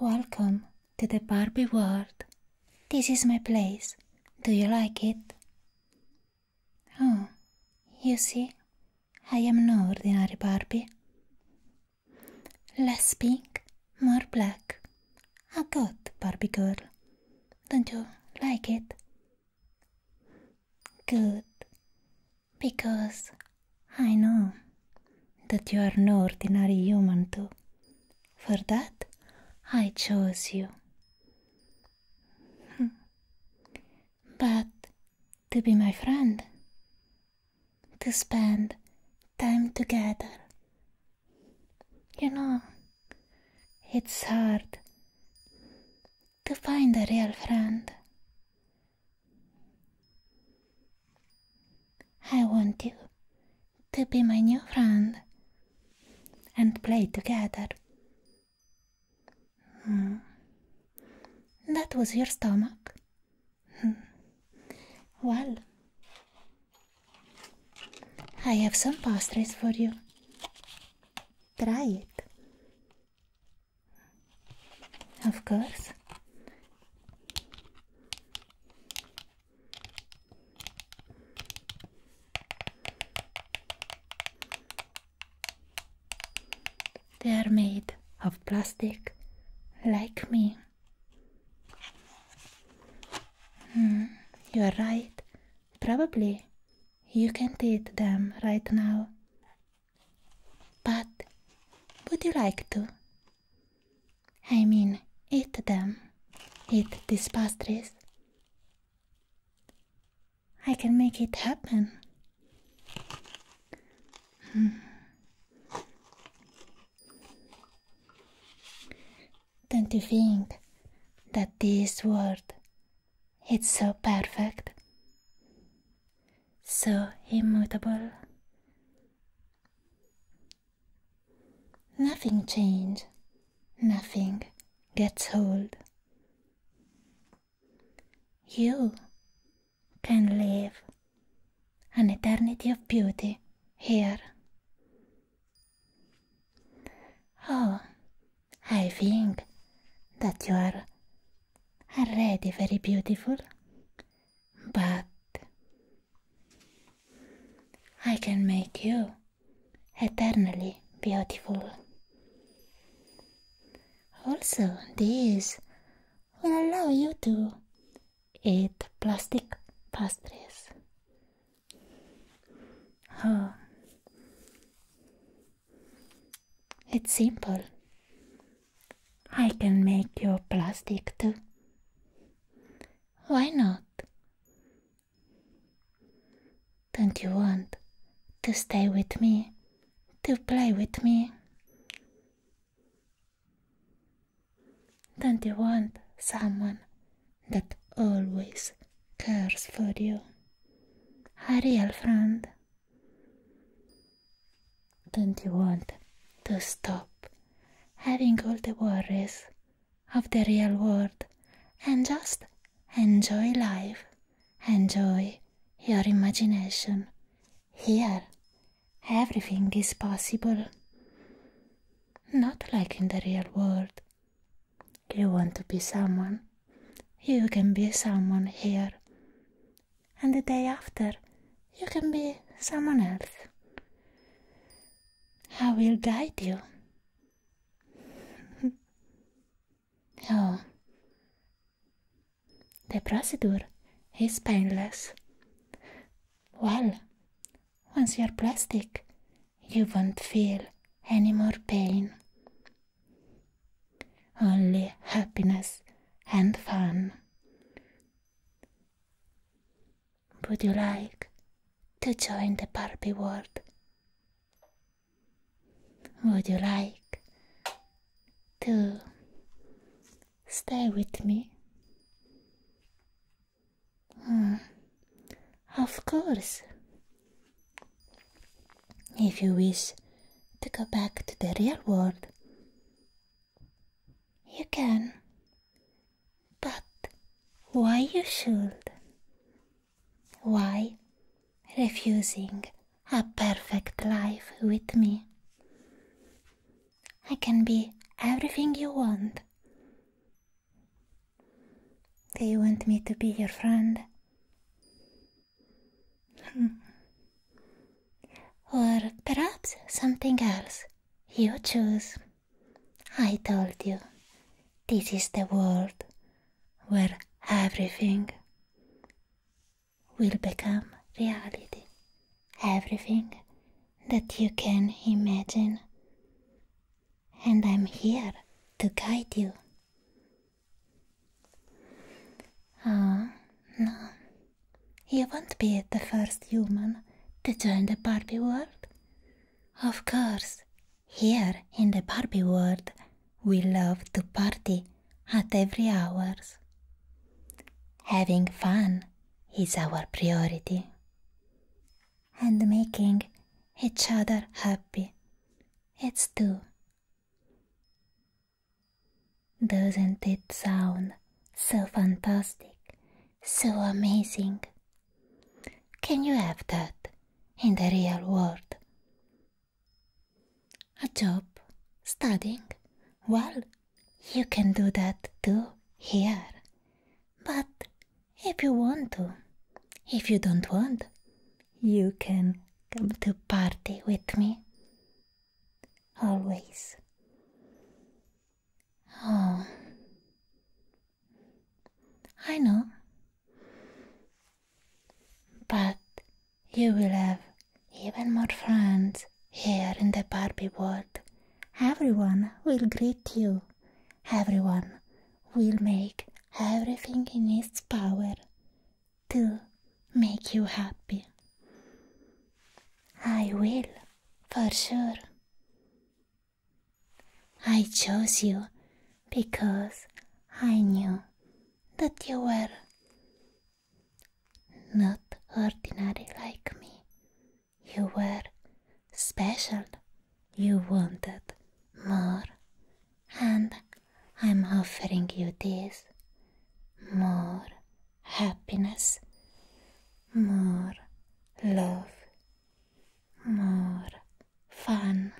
Welcome to the Barbie world. This is my place. Do you like it? Oh, you see, I am no ordinary Barbie. Less pink, more black. A good Barbie girl. Don't you like it? Good, because I know that you are no ordinary human, too. For that, I chose you. Hmm. but to be my friend, to spend time together. You know, it's hard to find a real friend. I want you to be my new friend and play together. Hmm. That was your stomach. Hmm. Well, I have some pastries for you. Try it. Of course. They are made of plastic, like me. Hmm, you are right. Probably you can eat them right now, but would you like to? I mean, eat them. Eat these pastries. I can make it happen. Hmm. Don't you think that this world. It's so perfect, so immutable. Nothing changes, nothing gets old. You can live an eternity of beauty here. Oh, I think that you are already very beautiful, but I can make you eternally beautiful. Also, this will allow you to eat plastic pastries. Oh, it's simple. I can make your plastic too. Why not? Don't you want to stay with me, to play with me? Don't you want someone that always cares for you? A real friend. Don't you want to stop having all the worries of the real world and just enjoy life? Enjoy your imagination. Here, everything is possible. Not like in the real world. You want to be someone? You can be someone here and the day after you can be someone else. I will guide you. oh, the procedure is painless. Well, once you're plastic, you won't feel any more pain only happiness and fun. Would you like to join the Barbie world? Would you like to stay with me? Hmm. Of course if you wish to go back to the real world. You can, but why you should? Why refusing a perfect life with me? I can be everything you want. Do you want me to be your friend? Hmm. Or perhaps something else. You choose. I told you, this is the world where everything will become reality. Everything that you can imagine. And I'm here to guide you. Ah, no. You won't be the first human to join the Barbie world. Of course, here in the Barbie world, we love to party at every hours. Having fun is our priority. And making each other happy, it's too. Doesn't it sound so fantastic, so amazing? Can you have that in the real world? A job, studying? Well, you can do that too here. But if you want to, if you don't want, you can come to party with me always. Oh, I know. But you will have even more friends here in the Barbie world. Everyone will greet you. Everyone will make everything in its power to make you happy. I will, for sure. I chose you because I knew that you were not ordinary like me. You were special. You wanted more. And I'm offering you this more happiness, more love, more fun.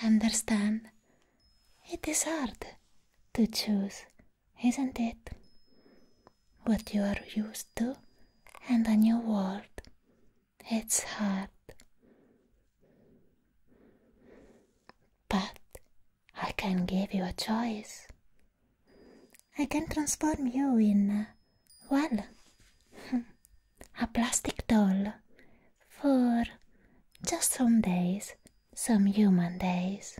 Understand? It is hard to choose, isn't it? What you are used to and a new world. It's hard. But I can give you a choice. I can transform you in, uh, well, a plastic doll for just some days, some human days.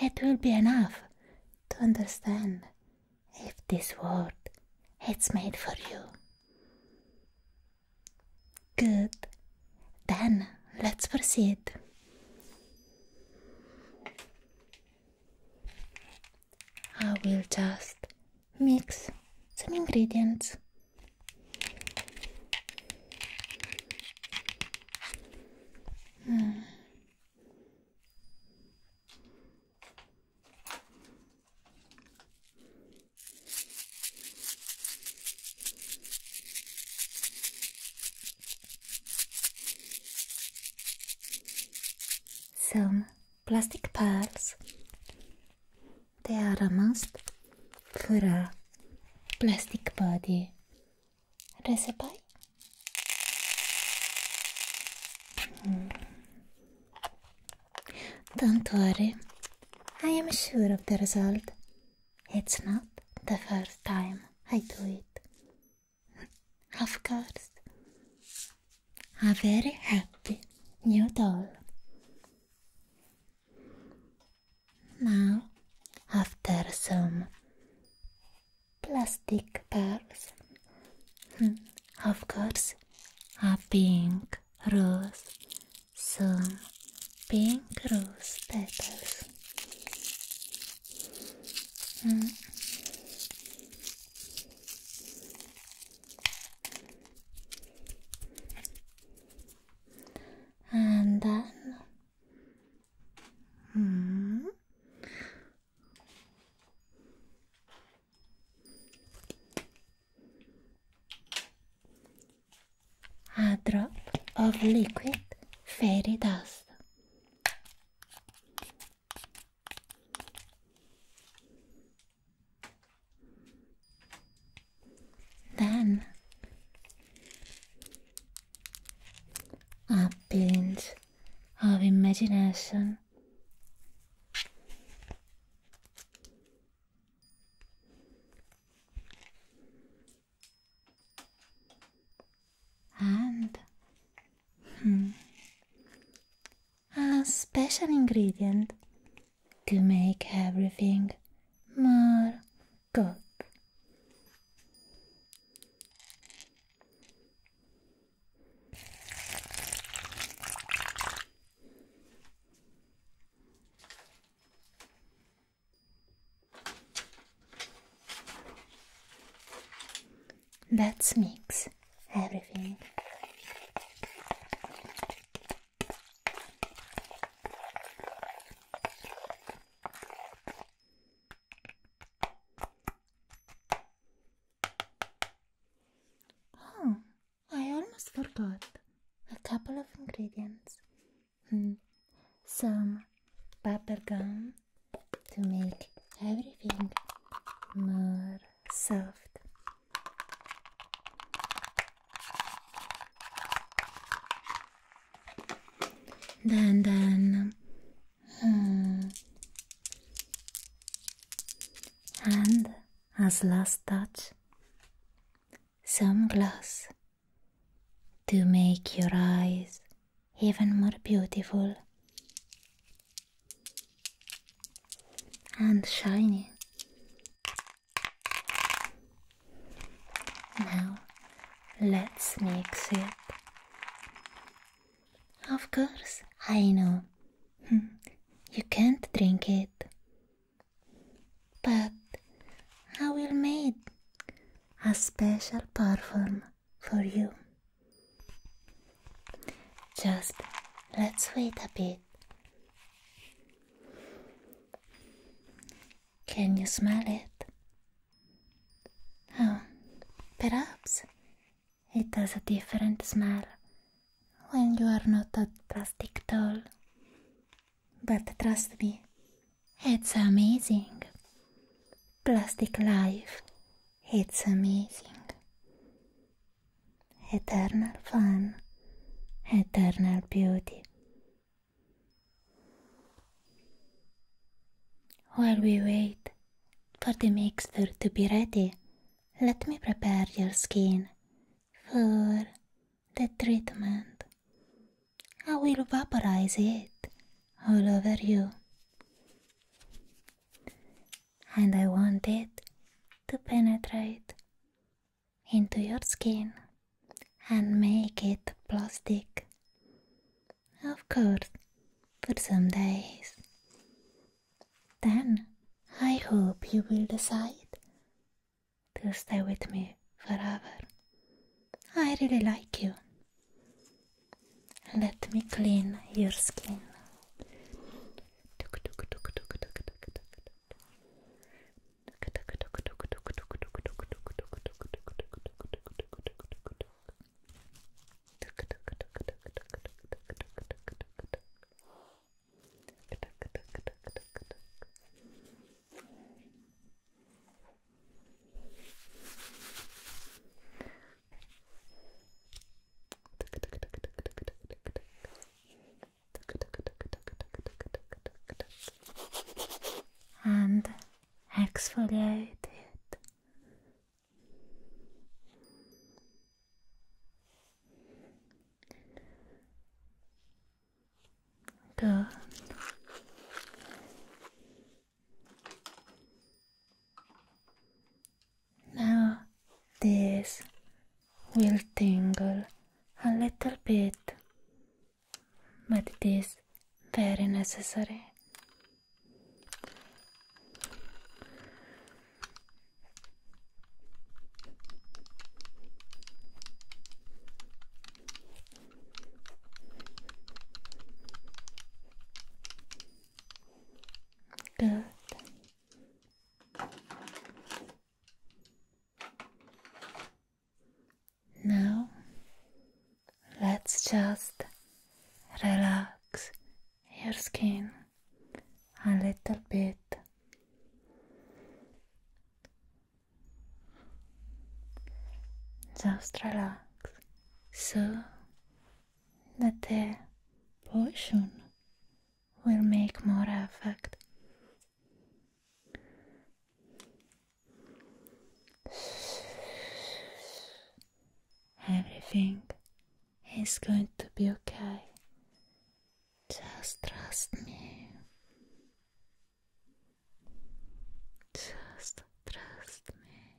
It will be enough to understand if this world it's made for you. Good. Then let's proceed. I will just mix some ingredients. Hmm. Some plastic pearls. They are a must for a plastic body recipe. Hmm. Don't worry, I am sure of the result. It's not the first time I do it. of course. A very happy new doll. Now, after some plastic pearls, hmm, of course, a pink rose some pink rose petals. Hmm. And then hmm a drop of liquid fairy dust. Then a pinch of imagination and hmm, a special ingredient to make everything more good. Let's mix everything. Oh, I almost forgot a couple of ingredients and hmm. some bubble gum to make everything more soft. Then, then, hmm. and as last touch, some glass to make your eyes even more beautiful and shiny. Now let's mix it. Of course, I know. you can't drink it, but I will make a special perfume for you. Just let's wait a bit. Can you smell it? Oh, perhaps it has a different smell when you are not a plastic doll. But trust me, it's amazing. Plastic life, it's amazing. Eternal fun, eternal beauty. While we wait for the mixture to be ready, let me prepare your skin for the treatment. I will vaporize it all over you. And I want it to penetrate into your skin and make it plastic. Of course, for some days. Then I hope you will decide to stay with me forever. I really like you. Let me clean your skin and exfoliate it. Good. Now this will tingle a little bit, but it is very necessary. Good. Now let's just relax your skin a little bit. Just relax so that the potion will make more effect. Everything is going to be okay. Just trust me. Just trust me.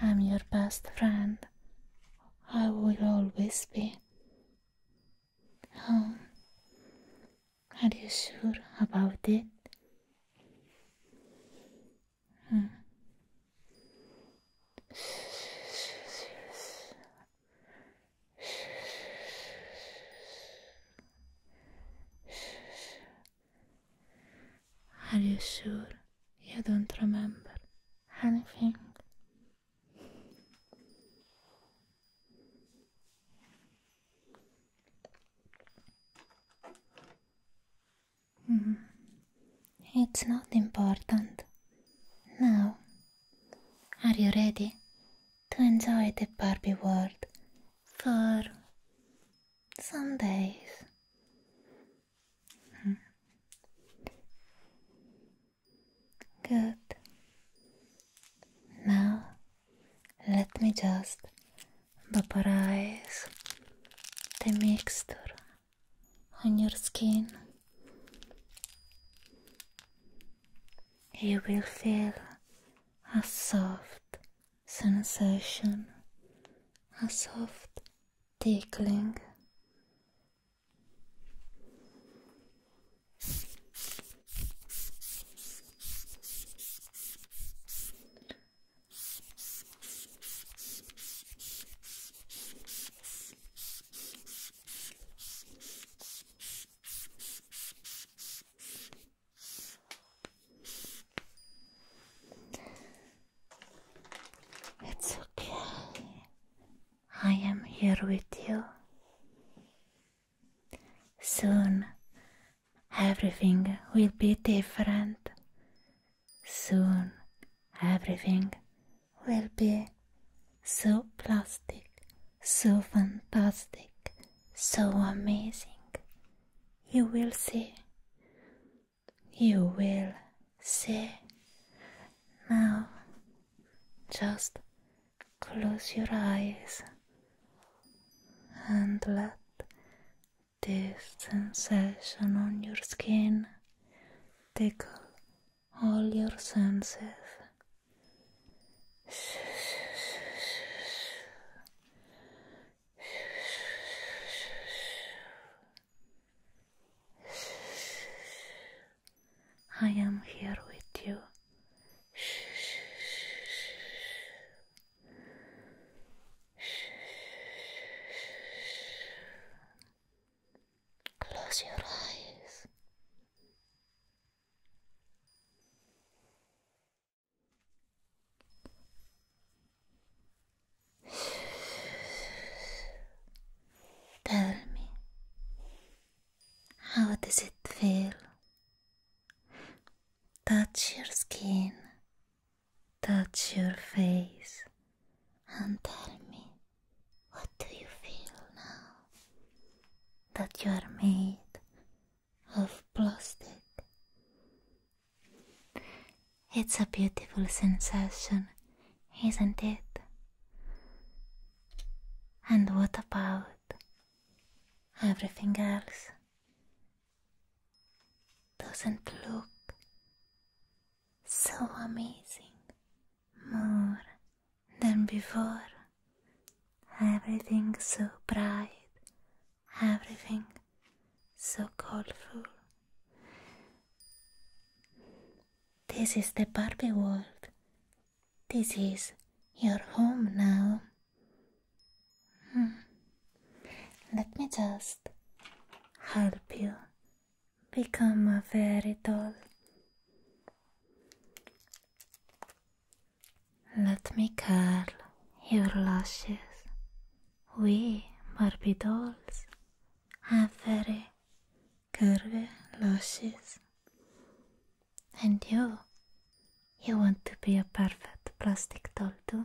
I'm your best friend. I will always be. Oh, are you sure about it? Are you sure you don't remember anything? Mm-hmm. It's not important. Now, are you ready to enjoy the Barbie world for some days? Hmm. Good. Now, let me just vaporize the mixture on your skin. You will feel a soft sensation, a soft tickling. It's okay. I am here with you. Soon everything will be different Soon everything will be so plastic, so fantastic, so amazing. You will see. You will see. Now, just close your eyes and let this sensation on your skin tickle all your senses. I am here with you. Close your eyes. Tell me, how does it feel? Touch your skin touch your face and tell me what do you feel now that you are made of plastic. It's a beautiful sensation, isn't it? And what about everything else? Doesn't look so amazing, more than before. Everything so bright, everything so colorful. This is the Barbie world. This is your home now. Hmm. Let me just help you become a fairy doll. Let me curl your lashes. We Barbie dolls have very curvy lashes. And you, you want to be a perfect plastic doll too?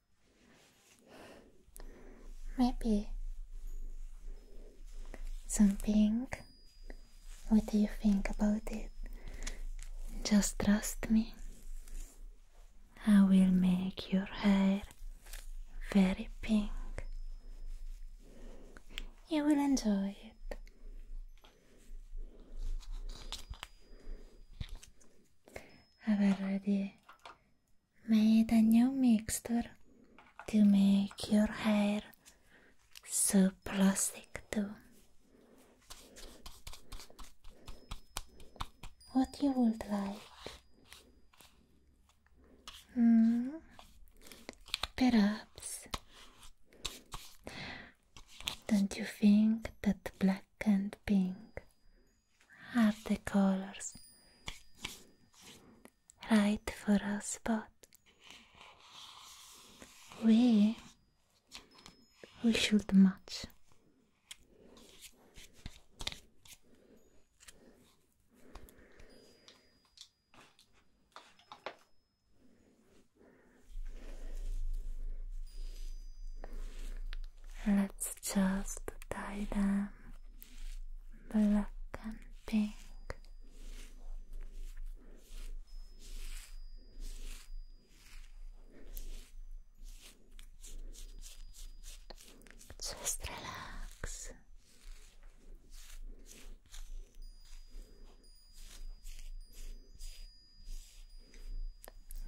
Maybe something. What do you think about it? Just trust me. I will make your hair very pink. You will enjoy it. I've already made a new mixture to make your hair so plastic too. What you would like? Hmm? Perhaps. Don't you think that black and pink at the colors. Right for a spot. We we should match. Let's just dye them black and pink. Just relax.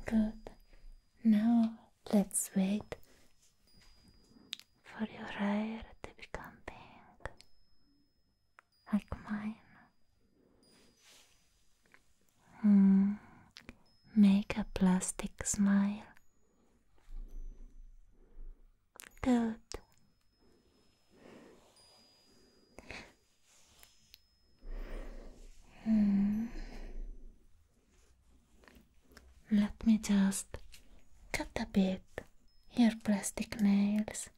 Good. Now let's wait for your hair to become pink like mine. Hmm, make a plastic smile. Good. Hmm. Let me just cut a bit your plastic nails.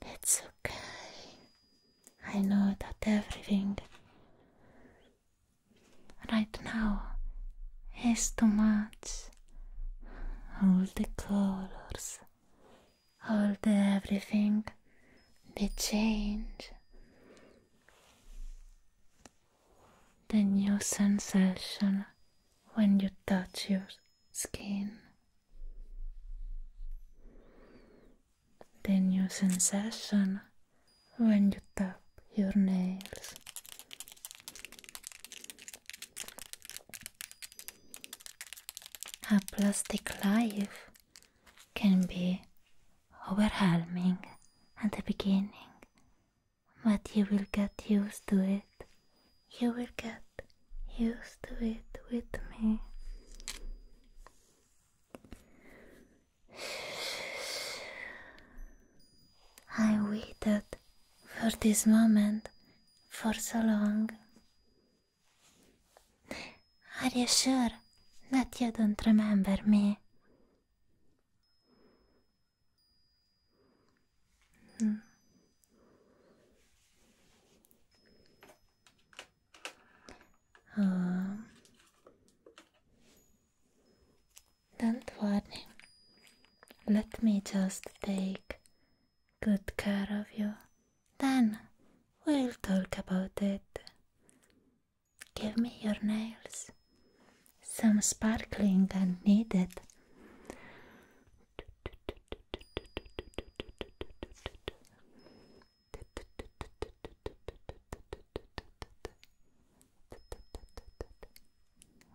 It's okay. I know that everything right now is too much. All the colors, all the everything, the change. The new sensation when you touch your skin the new sensation when you tap your nails. A plastic life can be overwhelming at the beginning, but you will get used to it you will get used to it with me. I waited for this moment for so long. Are you sure that you don't remember me? Hmm. Um, don't worry. Let me just take good care of you. Then we'll talk about it. Give me your nails. Some sparkling and needed.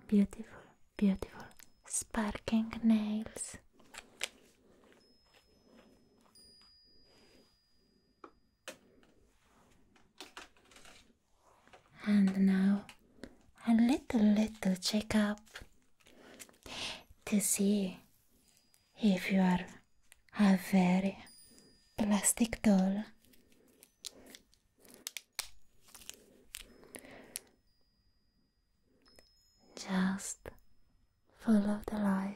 Beautiful, beautiful, sparkling nails. And now a little little checkup to see if you are a very plastic doll. Just follow the light.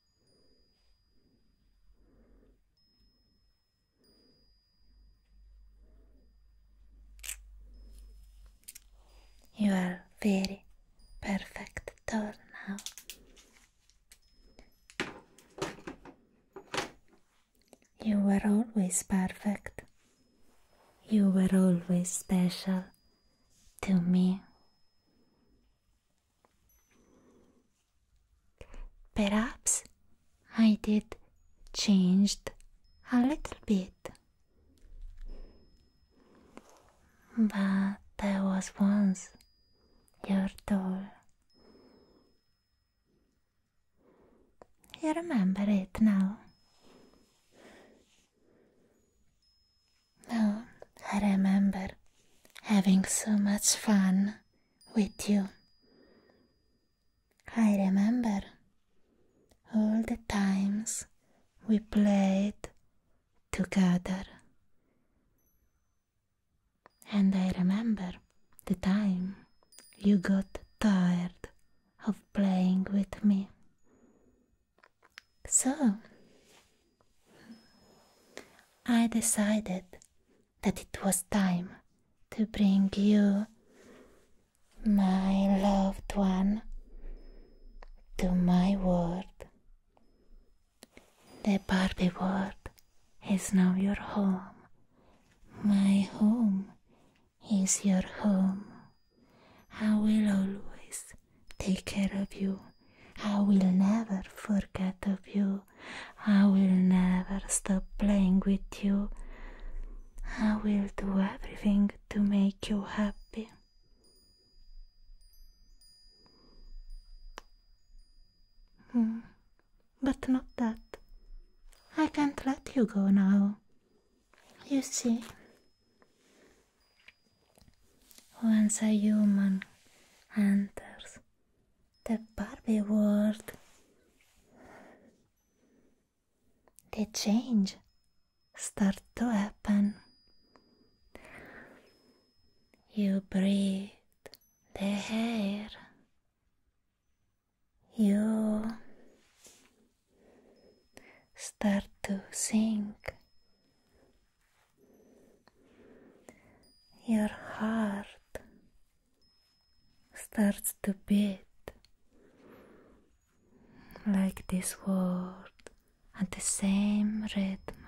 You are very perfect doll now. You were always perfect. You were always special to me. Perhaps I did changed a little bit. But I was once your doll. You remember it now. No, I remember having so much fun with you. I remember all the times we played together. And I remember the time you got tired of playing with me. So, I decided that it was time to bring you, my loved one, to my world. The Barbie world is now your home. My home is your home. I will always take care of you. I will never forget of you. I will never stop playing with you. I will do everything to make you happy. Hmm. But not that. I can't let you go now. You see, once a human enters the Barbie world, the change starts to happen. You breathe the air. You start to sink. Your heart starts to beat like this world at the same rhythm.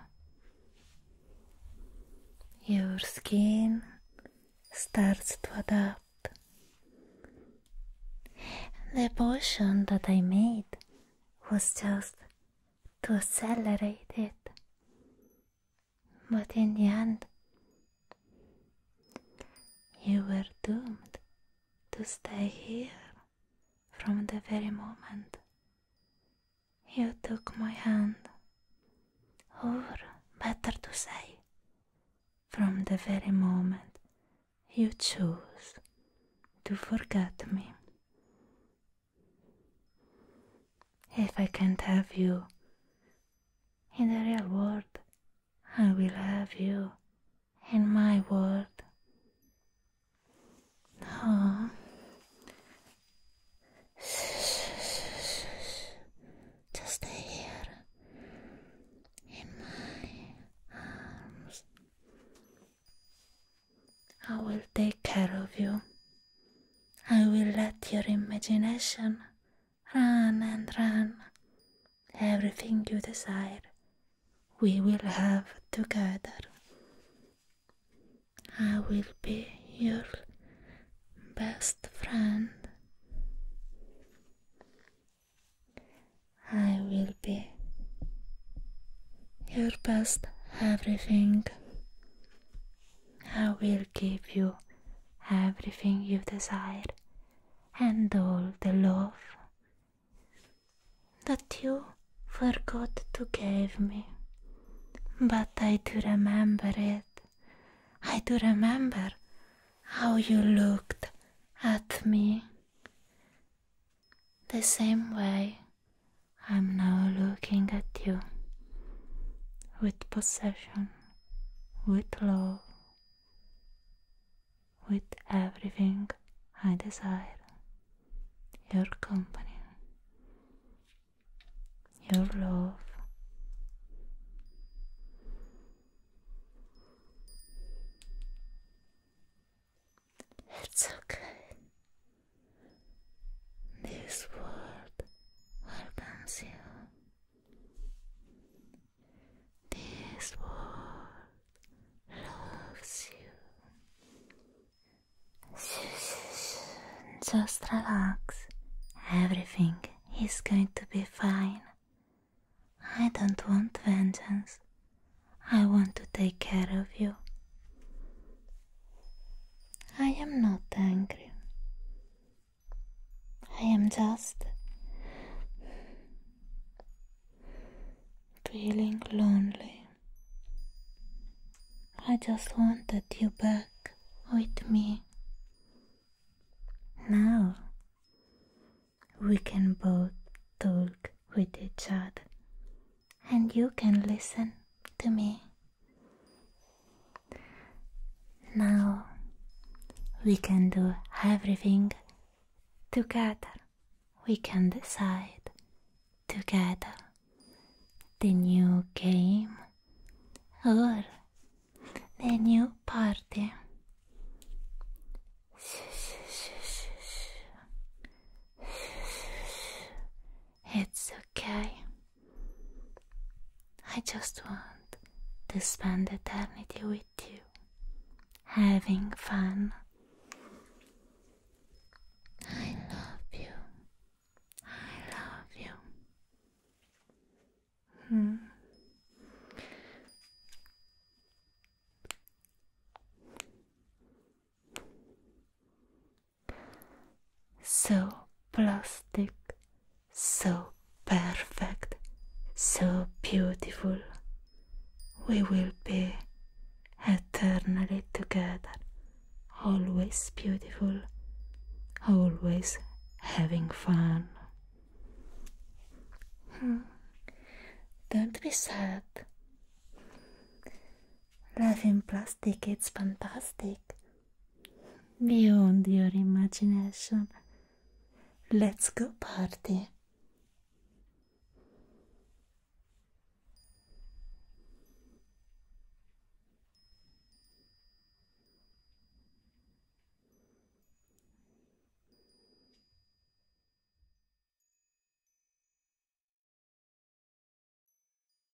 Your skin starts to adapt. The potion that I made was just to accelerate it. But in the end, you were doomed to stay here from the very moment you took my hand, or better to say, from the very moment you chose to forget me. If I can't have you in the real world, I will have you in my world. Oh. Just stay here in my arms. I will take care of you. I will let your imagination run and run. Everything you desire, we will have together. I will be your best friend. I will be your best everything. I will give you everything you desire and all the love that you forgot to give me. But I do remember it. I do remember how you looked at me the same way I'm now looking at you with possession, with love, with everything I desire your company, your love. It's okay. This world welcomes you. This world loves you. Just relax. Everything is going to be fine. I don't want vengeance. I want to take care of you. I am not angry. I am just feeling lonely. I just wanted you back with me. Now we can both talk with each other and you can listen to me. Now we can do everything together. We can decide together the new game or the new party. It's okay. I just want to spend eternity with you, having fun. I love you. I love you. Hmm. So plastic, so perfect, so beautiful. We will be eternally together, always beautiful, always having fun. Hmm. Don't be sad. Life in plastic, it's fantastic. Beyond your imagination. Let's go party.